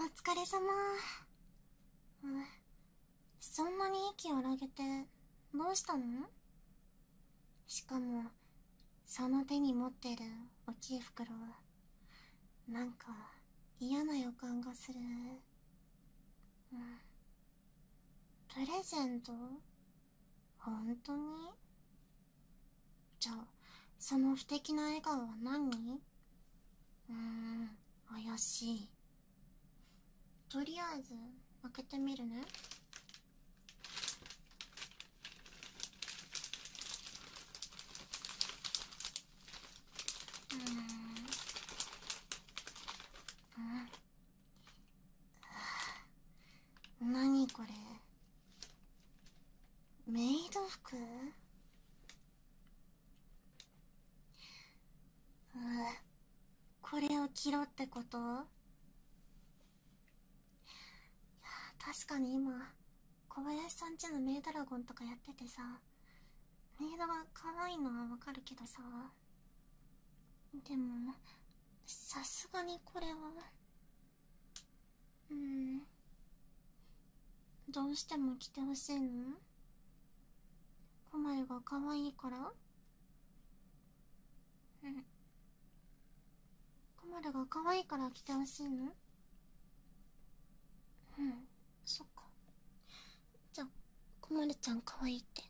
お疲れ様、うそんなに息を荒げてどうしたのしかもその手に持ってる大きい袋なんか嫌な予感がするプレゼント本当にじゃあその不敵な笑顔は何うん怪しいとりあえず開けてみるねうんうん何これメイド服うん、これを着ろってこと確かに今小林さんちのメイドラゴンとかやっててさメイドは可愛いのはわかるけどさでもさすがにこれはうんどうしても着てほしいのコマルが可愛いからうんコマルが可愛いから着てほしいのうんそっかじゃあコマちゃん可愛いって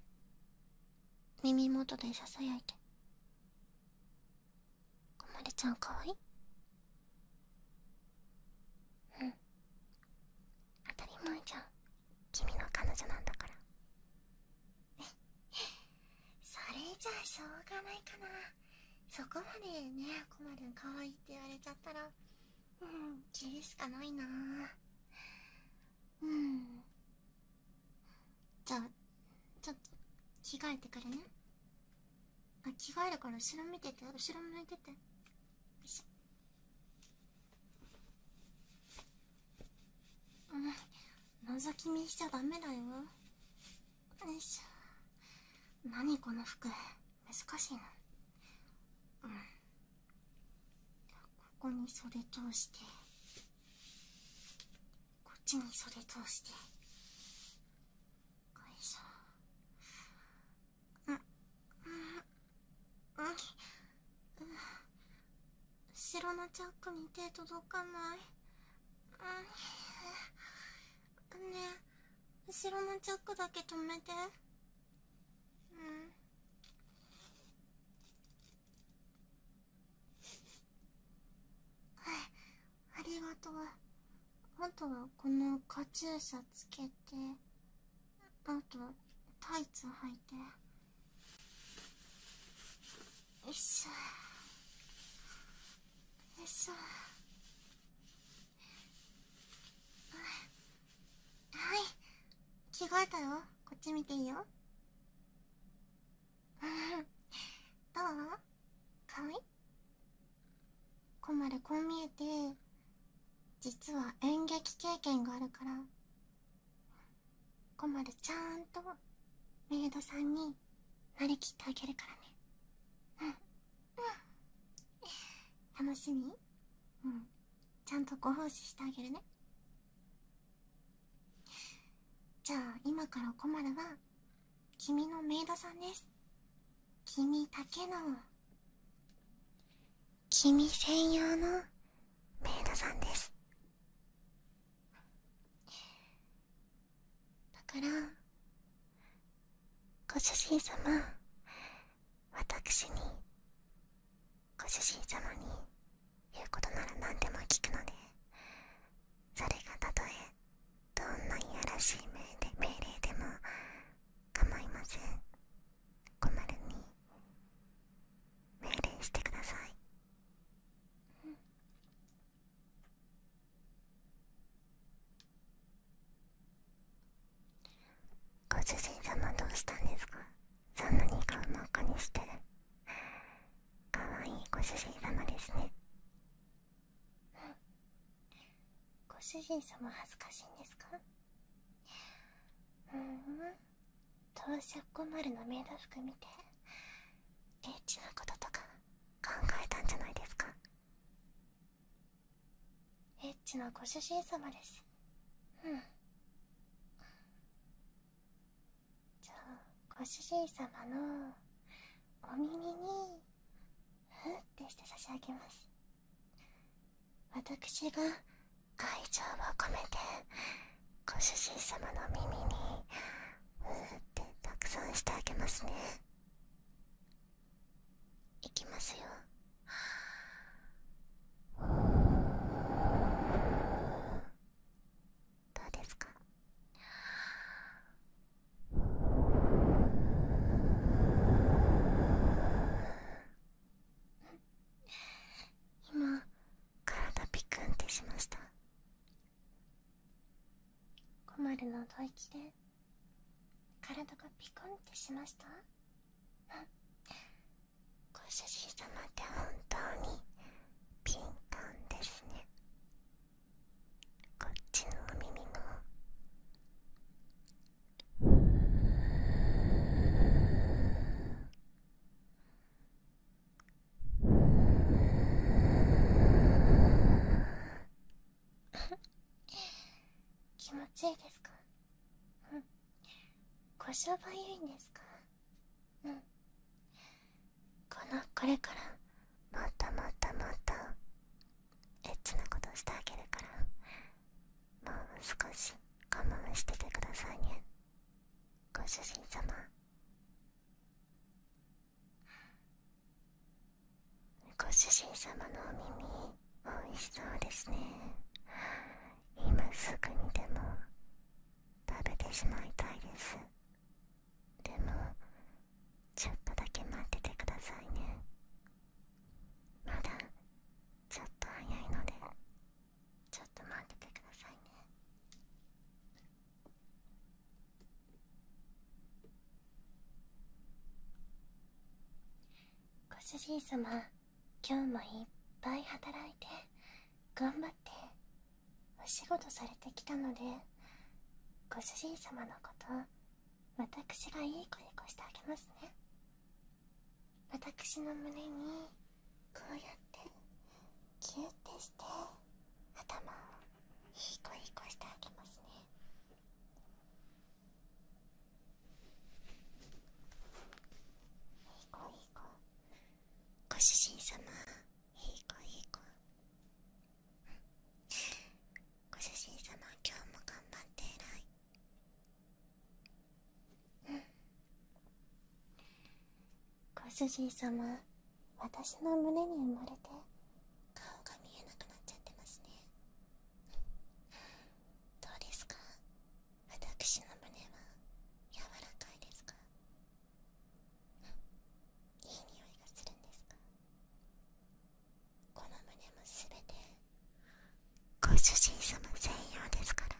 耳元でささやいてコマルちゃん可愛いうん当たり前じゃん君の彼女なんだから それじゃあしょうがないかなそこまでねこまるんかわいいって言われちゃったらうん着るしかないなうんじゃあちょっと着替えてくるねあ着替えるから後ろ見てて後ろ向いててよいしょうん覗き見しちゃダメだよよいしょ何この服難しいの。うんここに袖通してこっちに袖通してよいしょん、ん後ろのチャックに手届かない。ねえ、後ろのチャックだけ止めて。うん。ありがとうあとはこのカチューシャつけてあとタイツ履いてよいしょよいしょはい着替えたよこっち見ていいよどうかわいいこまるこう見えて実は演劇経験があるからこまるちゃんとメイドさんになりきってあげるからねうんうん楽しみうんちゃんとご奉仕してあげるねじゃあ今からこまるは君のメイドさんです君だけの君専用のメイドさんですだからご主人様私にご主人様に言うことなら何でも聞くのでそれがたとえどんないらしい命令でも構いません困るに命令してください、ご主人様どうしたんですかそんなに顔真っ赤にしてかわいいご主人様ですねご主人様恥ずかしいんですかううん当社5丸のメイド服見てエッチなこととか考えたんじゃないですかエッチなご主人様ですうんじゃあご主人様のお耳にふーってして差し上げます私が愛情を込めてご主人様の耳にうーってたくさんしてあげますねいきますよー…どうですか今体ピクンってしました困るの吐息で体がピクンってしました ご主人様って本当に敏感ですねこっちのお耳も。気持ちいいですかうんご商売いいんですかんこのこれからもっともっともっとエッチなことしてあげるからもう少し我慢しててくださいねご主人様ご主人様のお耳おいしそうですね今すぐにでも食べてしまいたいですでもちょっとだけ待っててくださいねまだちょっと早いのでちょっと待っててくださいねご主人様今日もいっぱい働いて頑張ってお仕事されてきたのでご主人様のこと私がいい子にこしてあげますね私の胸にこうやってキュッてして頭をいい子いい子してあげますねいい子いい子ご主人様いい子いい子ご主人様今日も頑張って偉いご主人様私の胸に埋もれて顔が見えなくなっちゃってますねどうですか私の胸は柔らかいですかいい匂いがするんですかこの胸もすべてご主人様専用ですから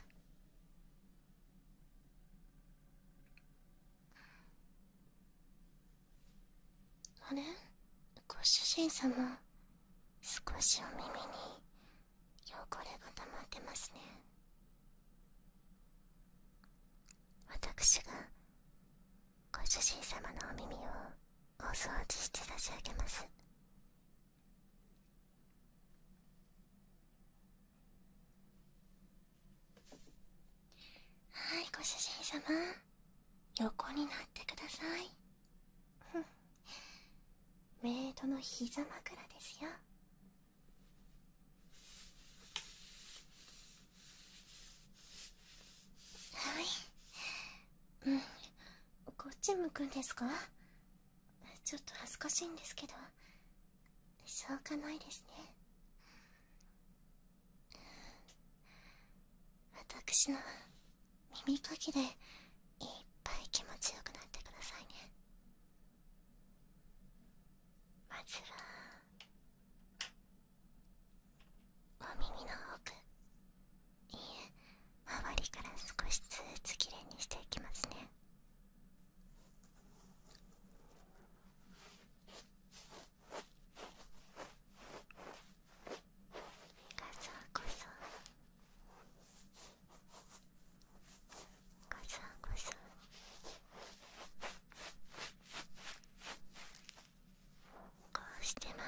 あれご主人様少しお耳に汚れが溜まってますね私がご主人様のお耳をお掃除して差し上げますはいご主人様横になってください メイドの膝枕ですよはいうんこっち向くんですかちょっと恥ずかしいんですけどしょうがないですね私の耳かきでいっぱい気持ちよくなってくださいねまずはお耳の奥いいえ周りから少しずつきれいにしていきますねガサゴサガサゴサこうして周りの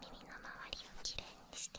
耳の周りをきれいにして。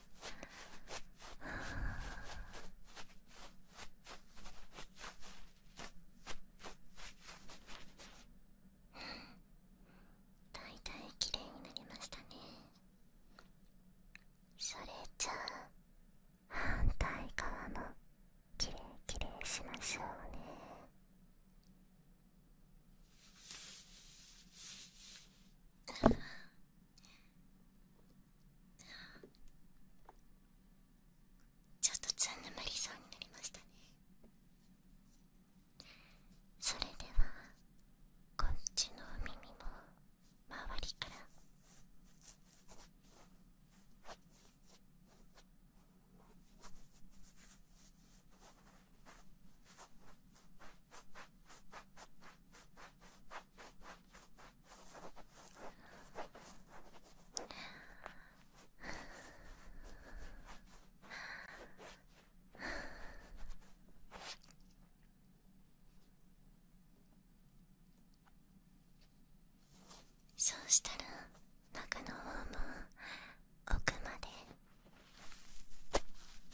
はだいたい綺麗になりましたねそれじゃあ反対側も綺麗綺麗しましょうねちょっとつん眠りそうになりましたねそれではこっちのお耳も周りからあははそうしたら中の方も奥まで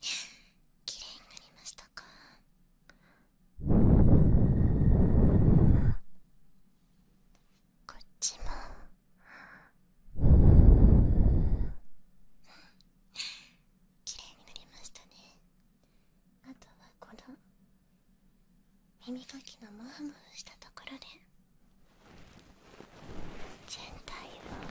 綺麗になりましたかこっちも綺麗になりましたねあとはこの耳かきのモフモフしたところで全体を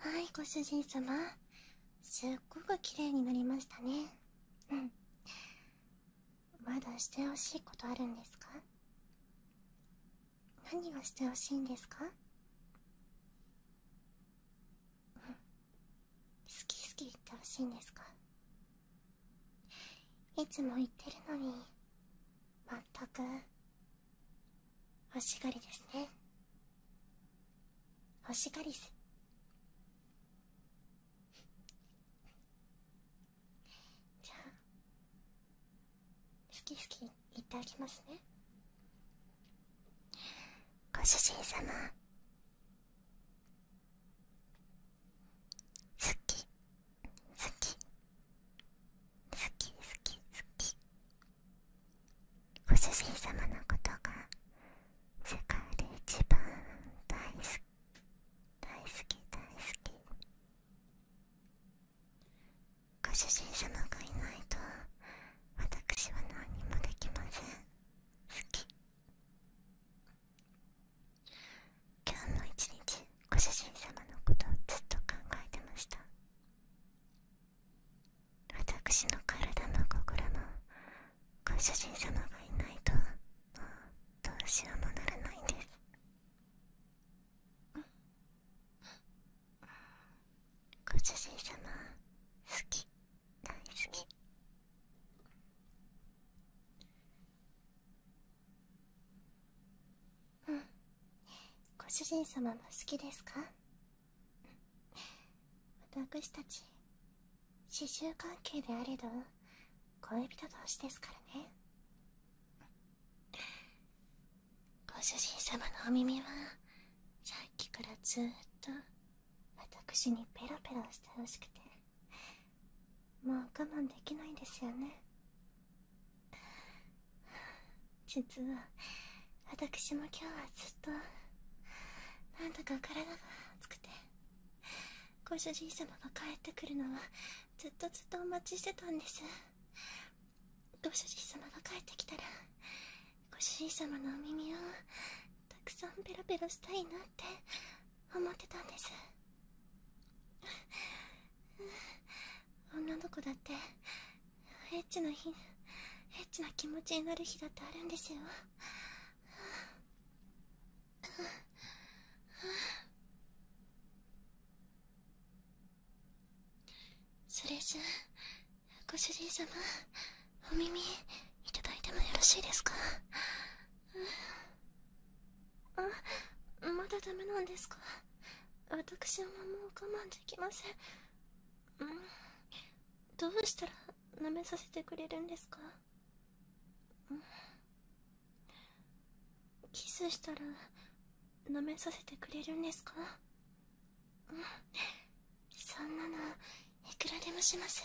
はいご主人様すっごく綺麗になりましたねうんまだしてほしいことあるんですか何がしてほしいんですか、好き好き言ってほしいんですかいつも言ってるのにまったく欲しがりですね欲しがりすじゃあ好き好きいただきますねご主人様好き好き好き好き好きご主人様のことが世界で一番大好き大好きご主人様がいないと私は何もできません好き今日の一日ご主人様のことずっと考えてました私の体も心もご主人様がいないともうどうしようもならないんですご主人様好き大好きうんご主人様も好きですか私たち刺繍関係であれど恋人同士ですからねご主人様のお耳はさっきからずっと私にペロペロしてほしくてもう我慢できないんですよね実は私も今日はずっとなんだか体が熱くてご主人様が帰ってくるのはずっとずっとお待ちしてたんですご主人様が帰ってきたらご主人様のお耳をたくさんペロペロしたいなって思ってたんです女の子だってエッチな日エッチな気持ちになる日だってあるんですよそれじゃご主人様お耳いただいてもよろしいですかあまだダメなんですか私はもう我慢できませんどうしたら舐めさせてくれるんですか、キスしたら舐めさせてくれるんですかそんなのいくらでもします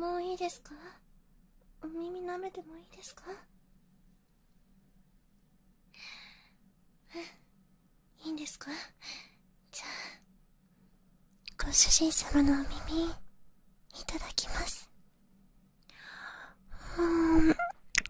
もういいですかお耳舐めてもいいですかいいんですかじゃあご主人様のお耳いただきますうん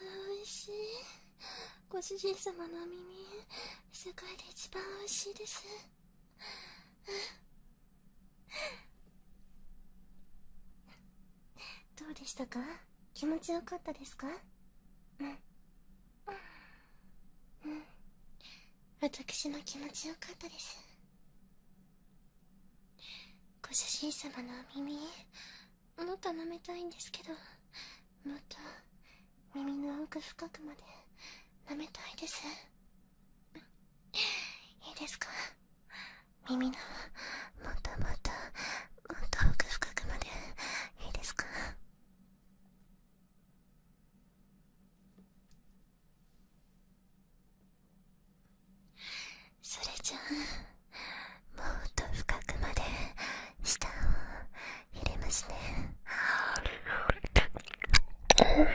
おいしいご主人様の耳世界で一番おいしいですどうでしたか気持ちよかったですかうん私の気持ちよかったですご主人様のお耳もっと舐めたいんですけどもっと耳の奥深くまで舐めたいですいいですか耳のもっともっともっと奥深くまでいいですかそれじゃあもっと深くまで舌を入れますね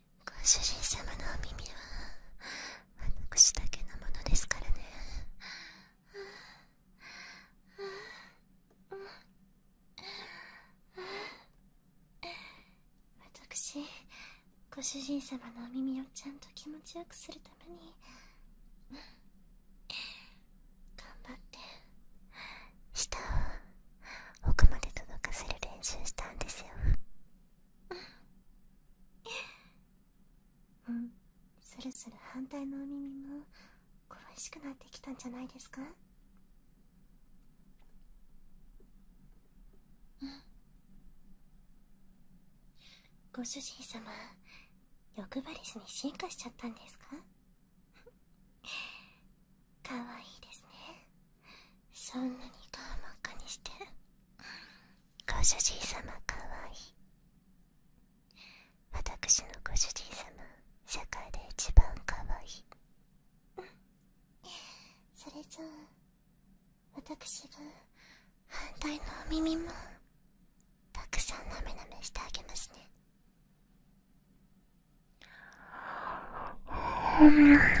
ご主人様のお耳はあの私だけのものですからね私ご主人様のお耳をちゃんと気持ちよくするために頑張って舌を奥まで届かせる練習したんですようんそろそろ反対のお耳も恋しくなってきたんじゃないですかご主人様欲張りしに進化しちゃったんですかかわいいですねそんなに顔真っ赤にしてご主人様かわいい私のご主人様世界で一番かわいいそれじゃあ私が反対のお耳もたくさんなめなめしてあげますね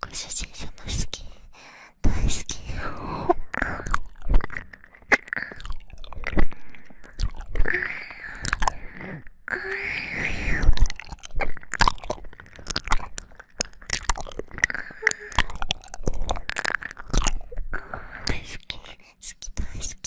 ご主人様好き大好き大好き好き大好き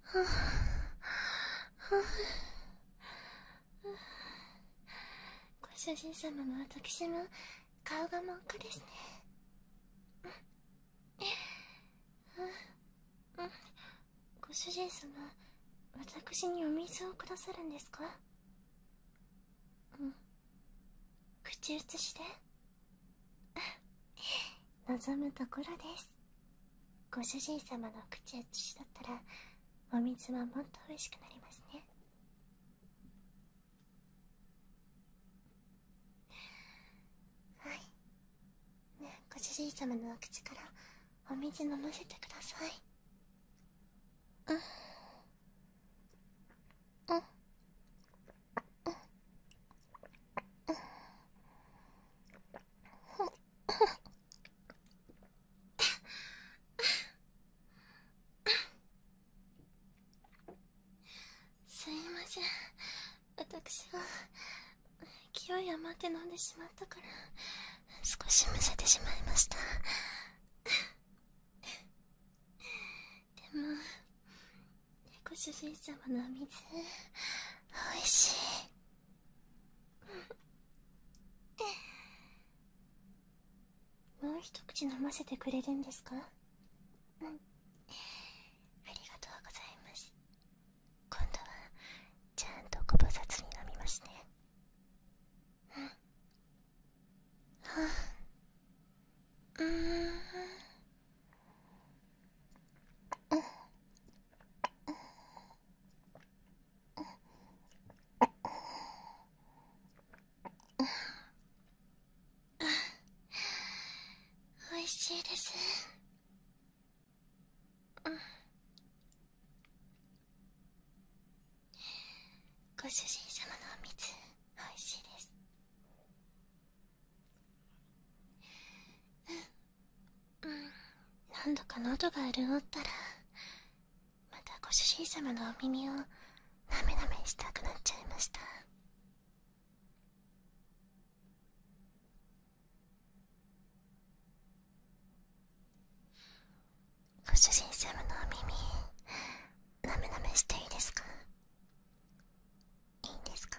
ははご主人様も私の顔が真っ赤ですねご主人様私にお水をくださるんですか口移しで 望むところですご主人様の口や土だったらお水はもっと美味しくなりますねはい、ね、ご主人様のお口からお水飲ませてくださいうんうんうんうんすいません私は勢い余って飲んでしまったから少しむせてしまいましたでもご主人様のお水おいしい もう一口飲ませてくれるんですかうんありがとうございます今度はちゃんとご無沙汰に飲みますねうんはあうんうんん、おいしいですご主人様のお水おいしいですうんうん何度か喉が潤ったらまたご主人様のお耳をなめなめしたくなっちゃいましたご主人様のお耳なめなめしていいですかいいんですか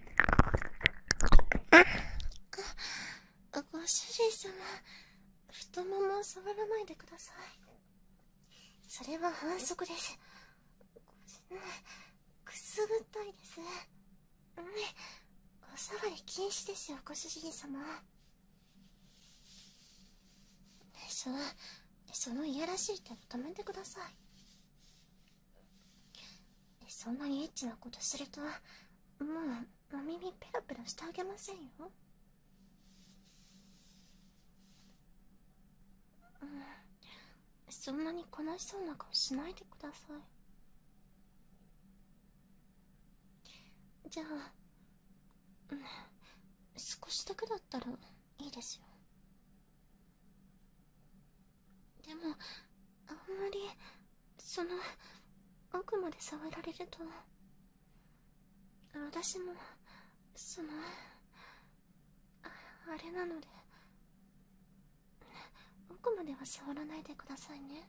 あご主人様太ももを触らないでくださいそれは反則ですくすぐったいですねお触り禁止ですよご主人様そのそのいやらしい手を止めてくださいそんなにエッチなことするともうお耳ペラペラしてあげませんよ、そんなに悲しそうな顔しないでくださいじゃあ、少しだけだったらいいですよでもあんまりその奥まで触られると私もそのあれなので奥までは触らないでくださいね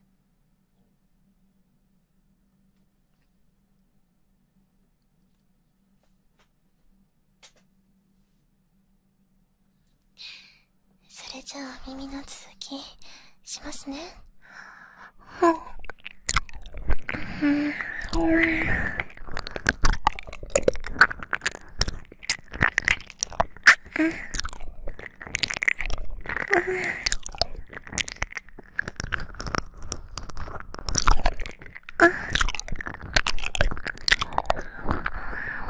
それじゃあ耳の続きしますねあ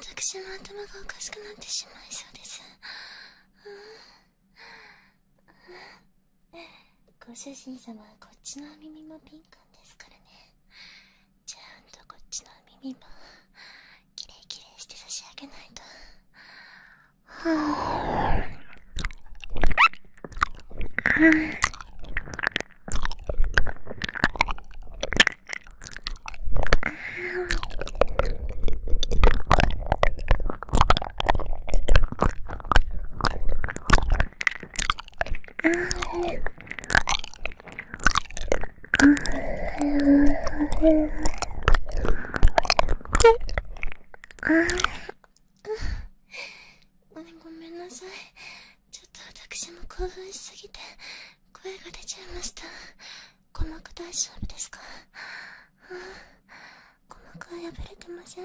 私の頭がおかしくなってしまいそうです。ご主人様はこっちのお耳も敏感ですからねちゃんとこっちのお耳もキレイキレイして差し上げないとはああごめんなさいちょっと私も興奮しすぎて声が出ちゃいました鼓膜大丈夫ですか鼓膜は破れてません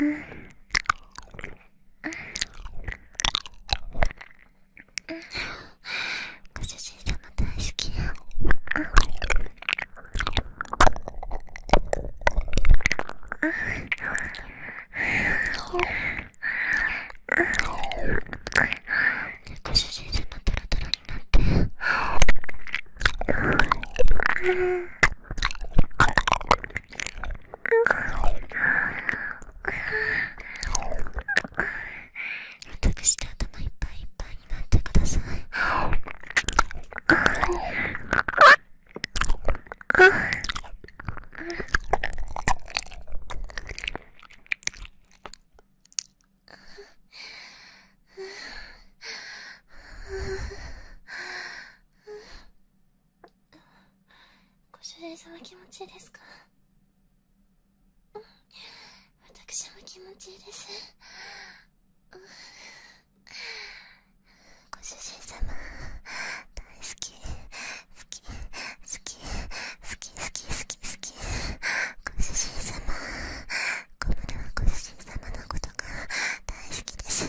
うんうんご主人様大好きや、うんんご主人様トロトロになって。全くして頭いっぱいいっぱいになってください。ご主人様気持ちいいですか私も気持ちいいですご主人様大好き好き好き好き好き好き好きご主人様小室はご主人様のことが大好きです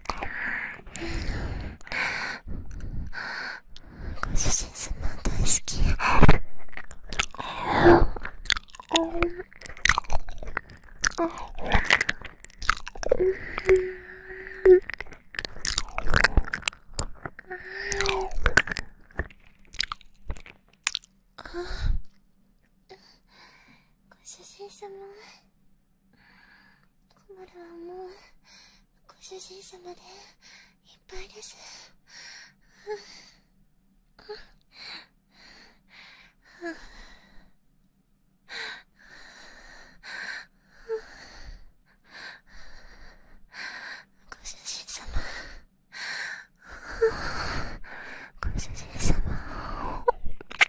ご主人様大好き。ご主人様小春はもうご主人様でいっぱいですご主人様ご主人様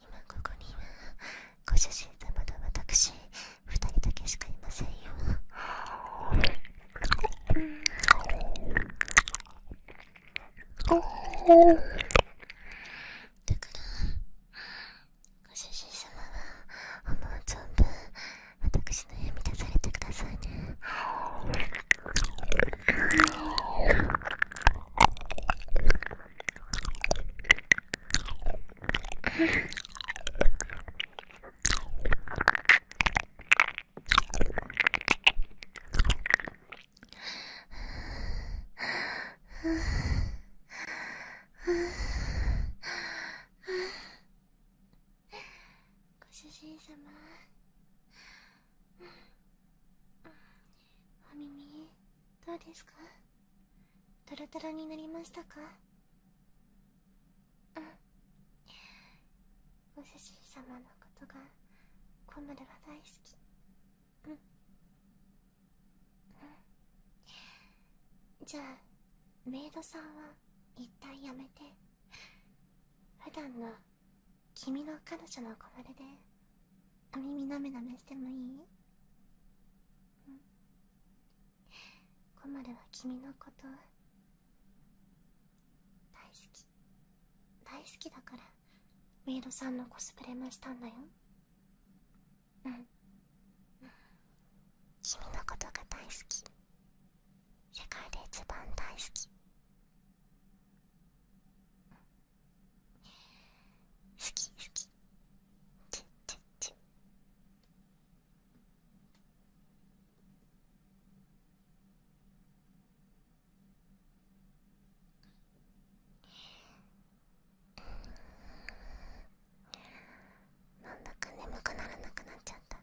今ここにはご主人様と私二人だけしかいませんよだからご主人様は思う存分私の部屋出されてくださいねご主人様お耳どうですかトロトロになりましたかうんお主様のことが小ムは大好きうんうんじゃあメイドさんは一旦やめて普段の君の彼女のこれで耳なめなめしてもいい、うん、コマルは君のこと大好き大好きだからメイドさんのコスプレもしたんだようん、君のことが大好き世界で一番大好き、好き好きちちちなんだか眠くならなくなっちゃった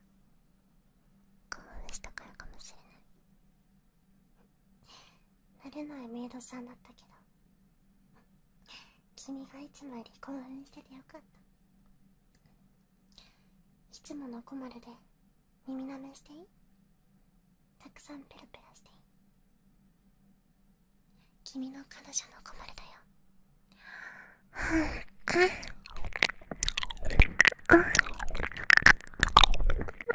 興奮したからかもしれない慣れないメイドさんだったけど君がいつもより興奮しててよかったいつものコマルで耳なめしていいたくさんペラペラしていい君の彼女のコマルだよ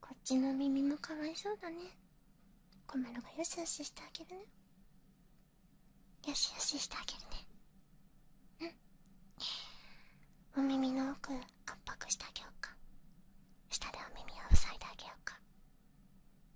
こっちの耳もかわいそうだねコマロがよしよししてあげるねよしよししてあげるねうんお耳の奥圧迫してあげようか下でお耳を塞いであげようか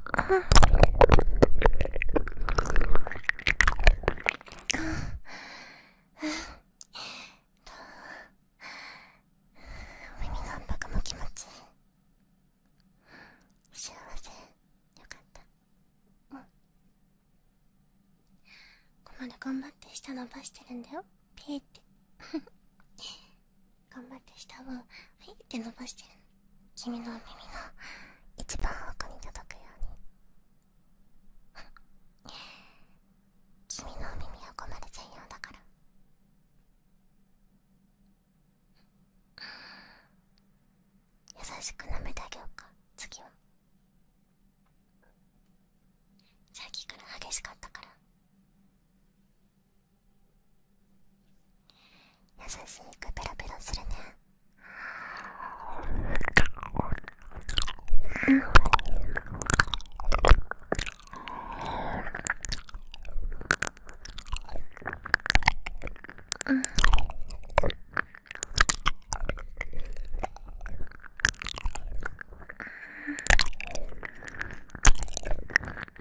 耳の圧迫も気持ちいい幸せよかったうんここまで頑張って下伸ばしてるんだよピーって 頑張って下をはいって伸ばしてる。君のお耳の一番奥に届くように君のお耳はここまで専用だから優しく舐めてあげようか次はさっきから激しかったから優しくペロペロするね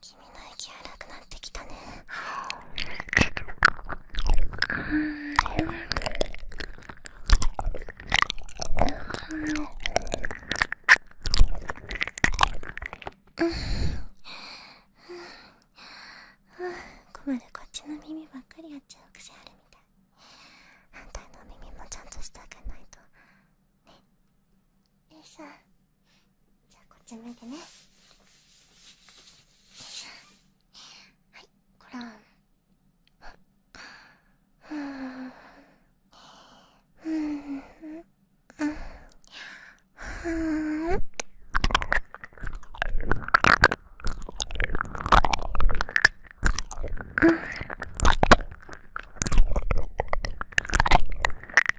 君の息荒くなってきたねこまるこっちの耳ばっかりやっちゃう癖あるみたい反対の耳もちゃんとしてあげないとねえいさんじゃあこっち向いてねはいコン。こらんふんふんふん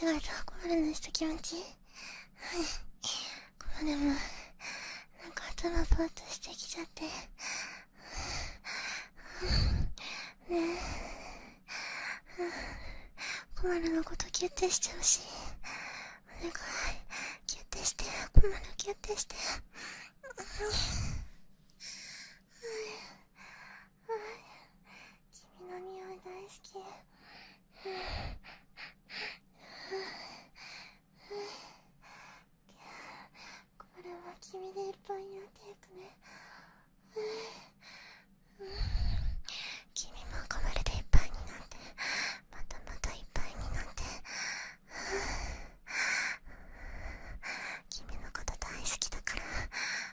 間違えたこまれのした気持ちいいはいこまれもなんか頭ぼーっとしてきちゃってねえこまるのことキュッてしちゃうしいお願いキュッてしてこまるキュッてしてはい君の匂い大好きこれは君でいっぱいになっていくね君もこまれでいっぱいになってまたまたいっぱいになって君のこと大好きだから大好き。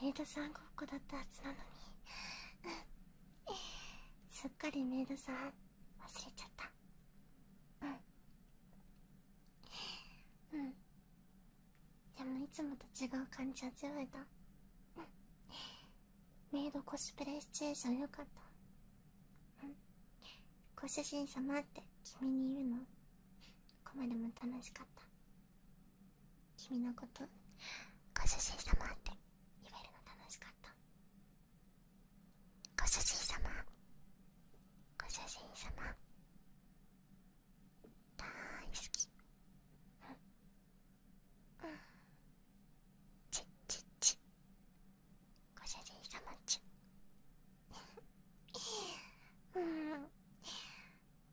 メイドさんがっこだったはずなのにすっかりメイドさん忘れちゃったうんでもいつもと違う感じ味わえた、メイドコスプレシチュエーションよかったご主人様って君に言うのこまでも楽しかった君のことご主人様って言えるの楽しかったご主人様ご主人様大好きうん、うん、ちちちご主人様ちうん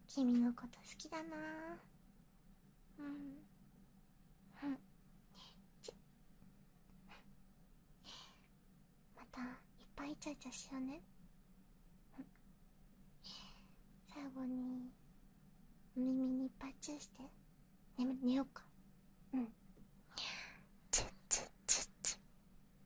君のこと好きだなうんまたいっぱいイチャイチャしようね最後にお耳にいっぱいチューして眠寝ようかうんチュッチュッチュッチュッ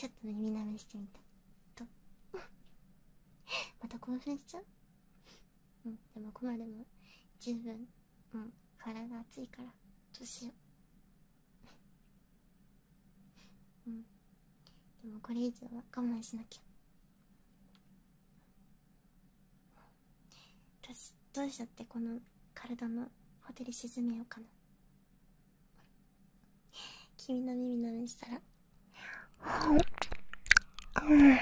ちょっと耳なめしてみたまた興奮しちゃうんでもここまでも十分うん体熱いからどうしよううんでもこれ以上は我慢しなきゃ私、どうしちゃってこの体のほてり沈めようかな君の耳なめしたらうん。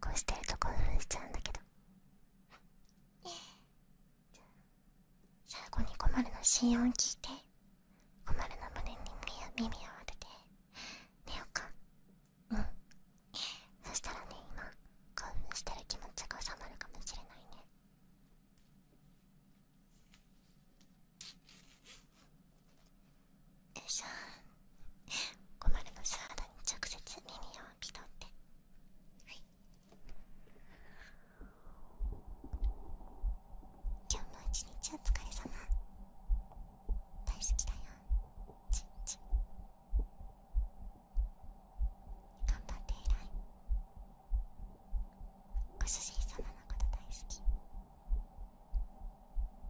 こうしてると興奮しちゃうんだけど最後にコマの心音聞いてコマの胸に耳を当てて寝ようかうんそしたらね今興奮してる気持ちが収まるかもしれないねじゃあ困るのサラダに直接耳を拭き取ってはい今日の一日お疲れ様大好きだよちんちん頑張って偉いご主人様のこと大好き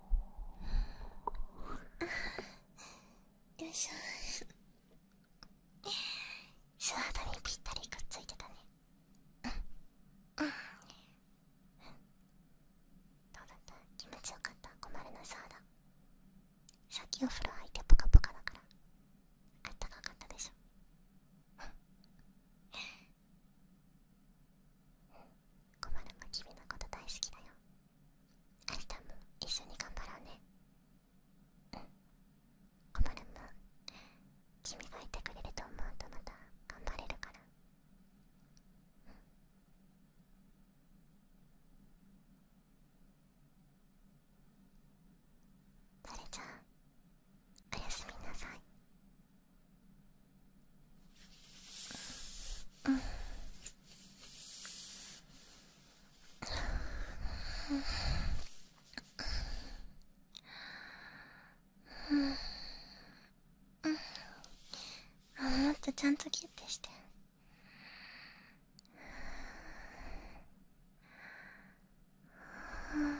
よいしょ素肌にぴったりくっついてたねうんうんどうだった気持ちよかった困るの素肌さっきお風呂入ってポカポカだからあったかかったでしょコマルも君のこと大好きだよ明日も一緒に頑張ろうねうんコマルも君がいてくれると思うとまた頑張れるからうんそれじゃあおやすみなさい。うううん。ん。ん。もっとちゃんとキュッてして。ううん。ん。